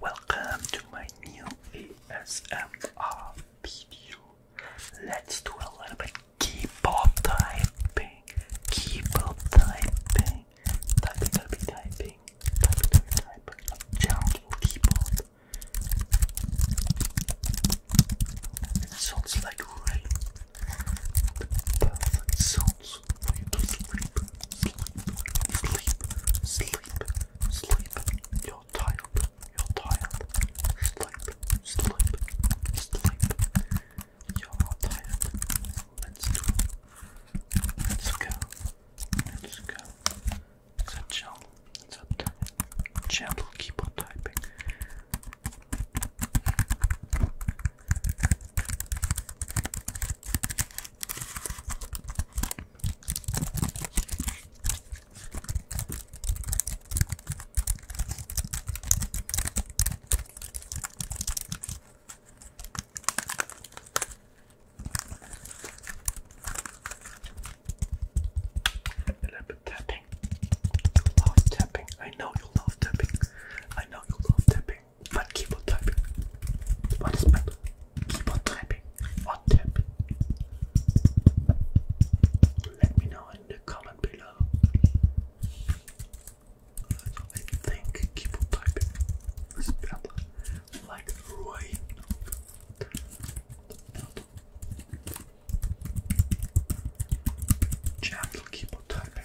Welcome to my new ASMR video. Let's do a little bit keyboard typing. Keyboard typing. Typing, typing, typing. Typing, typing, typing. keyboard. sounds like rain. perfect sound sounds for you to sleep, sleep, sleep, sleep, sleep. You're tired, you're tired. Sleep, sleep, sleep. You're tired. Let's do it. Let's go. Let's go. It's a gentle, it's a gentle. Keep on typing. A little bit tapping. Love tapping. I know you love tapping. I know you love tapping tapping, but keyboard typing. What is metal? Keyboard typing or tapping? Let me know in the comment below. I think keyboard typing is better, like right now. Gentle keyboard typing.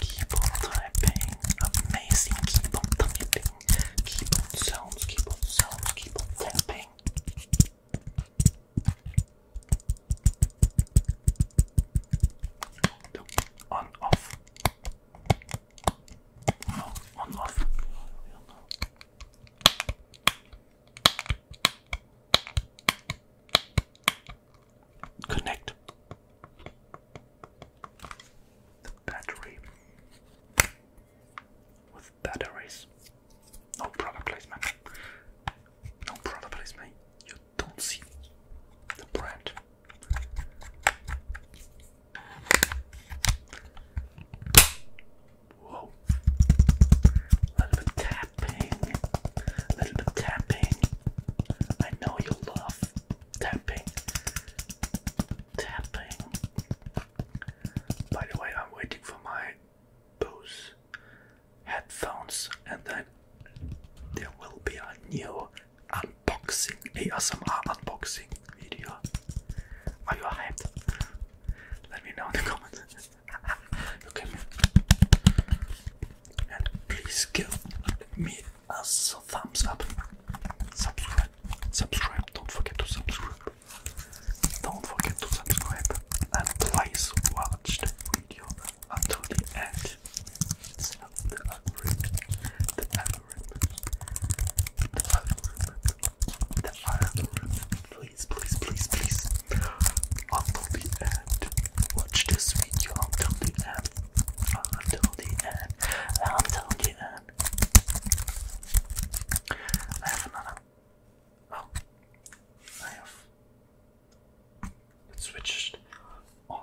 Keyboard typing, amazing keyboard typing, keyboard sounds, keyboard sounds, keyboard tapping. On off. on off. Connect battery with batteries. No product placement. No product placement. You don't see the brand. Whoa. A little bit tapping. A little bit tapping. I know you love tapping. Tapping. By the way, I'm waiting for my Bose headphones and then there will be a new unboxing ASMR uh, unboxing are you hyped? Let me know in the comments. you can and please give me a thumbs up. Subscribe. Subscribe. Don't forget to subscribe. Don't forget to subscribe and please watch the video until the end. the algorithm, algorithm. Please, please, please, please. Until the end. Watch this video until the end. Until the end. Until the end. I have another. Oh. I have. It switched. Oh.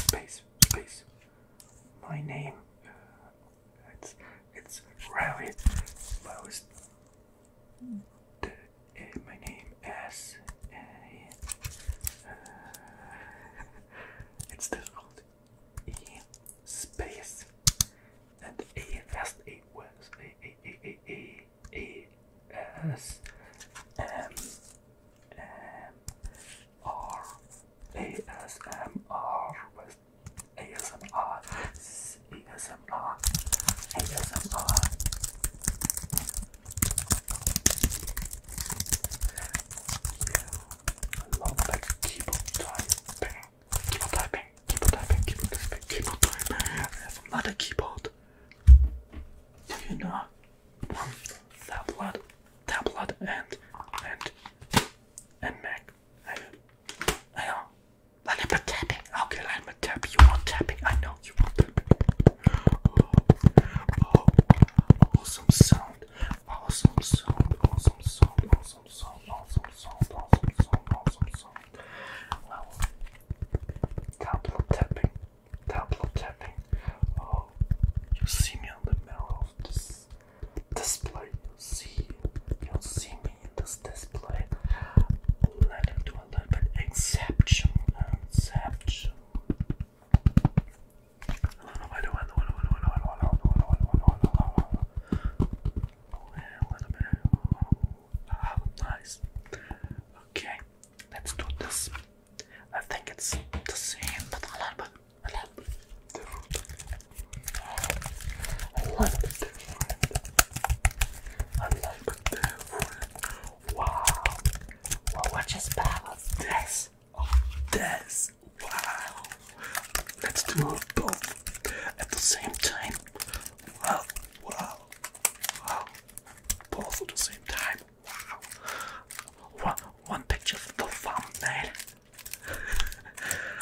space, space. My name. Uh, it's it's Rabbit. Most. The, uh, my name is. Uh, uh, it's difficult. E space and A fast A was A A A A A A S M R ASMR with ASMR ASMR ASMR I love like keyboard typing keyboard typing keyboard typing keyboard typing keyboard typing I have another keyboard you know tablet, tablet, and and and Mac. I, I know. A little bit tapping. Okay, a little bit tapping. You want tapping? I know you want tapping. Oh, oh, awesome sound. Awesome sound. Awesome sound. Awesome sound. Awesome sound. Awesome sound. Awesome sound. Well, tablet tapping tablet Oh, you see me on the mirror of this display. You see, you see me in this display. Let me do a little bit inception, inception. A little bit. Oh, nice. Okay, let's do this. I think it's the same, but a little bit, a little bit different. A little bit different. A Wow. Well, what is balance? This. this. Wow. Let's do both at the same time. Wow. Wow. Wow. Both at the same time. One, one picture for the thumbnail.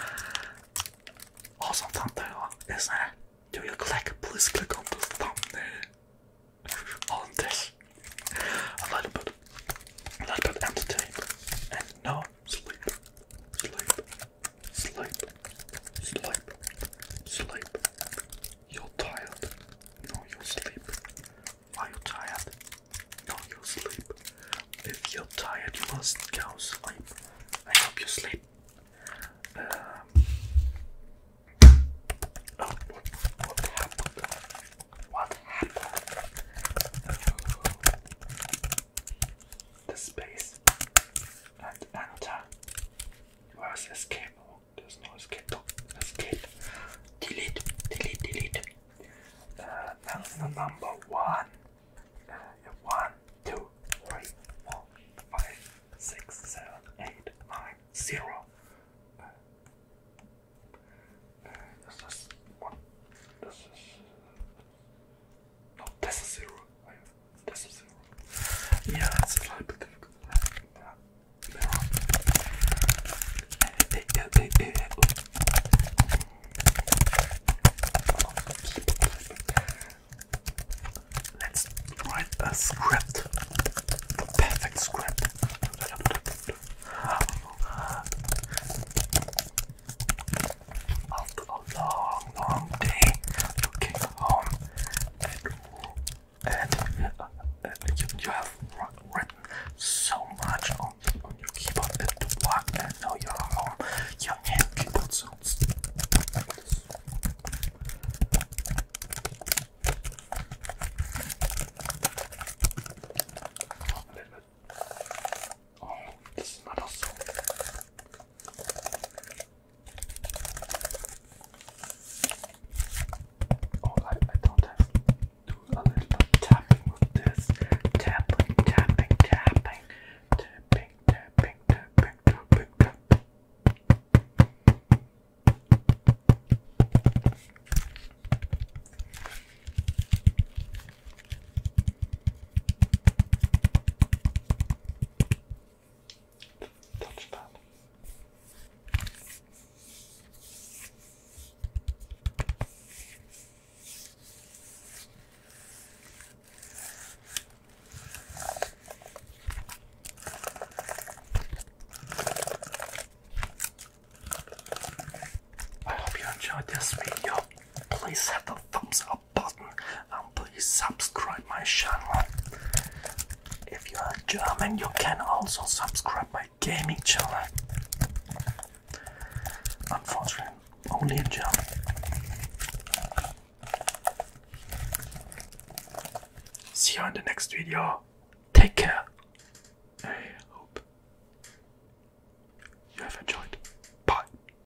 awesome thumbnail, isn't Do you click? Please click on the thumbnail. on this. A little bit, a little bit entertained. And no, sleep, sleep, sleep, sleep, sleep, you're tired. No, you sleep. Are you tired? No, you sleep. If you're tired, you must go sleep. I hope you sleep. Um, oh, what, happened? What happened? the space and enter. Where's escape? there's no escape. Escape. Delete. Delete. Delete. Uh, number one. Uh, one, two, three, four, five, six, seven, eight, nine, zero. Uh, uh, this is one. This is. Uh, no, this is zero. I yeah, it's a little bit difficult. Let's write a script. The perfect script. After a long, long day, looking home and you, have written so much on, your keyboard at work and you're home. You sounds Oh, this is not awesome. Oh, I, I don't have to do a little tapping with this. Tapping, tapping, tapping. Tapping, tapping, tapping, tapping, tapping. I hope you enjoyed this video. Please hit the thumbs up and please subscribe my channel. If you are German, you can also subscribe my gaming channel. Unfortunately, only in German. See you in the next video. Take care. I hope you have enjoyed. Bye.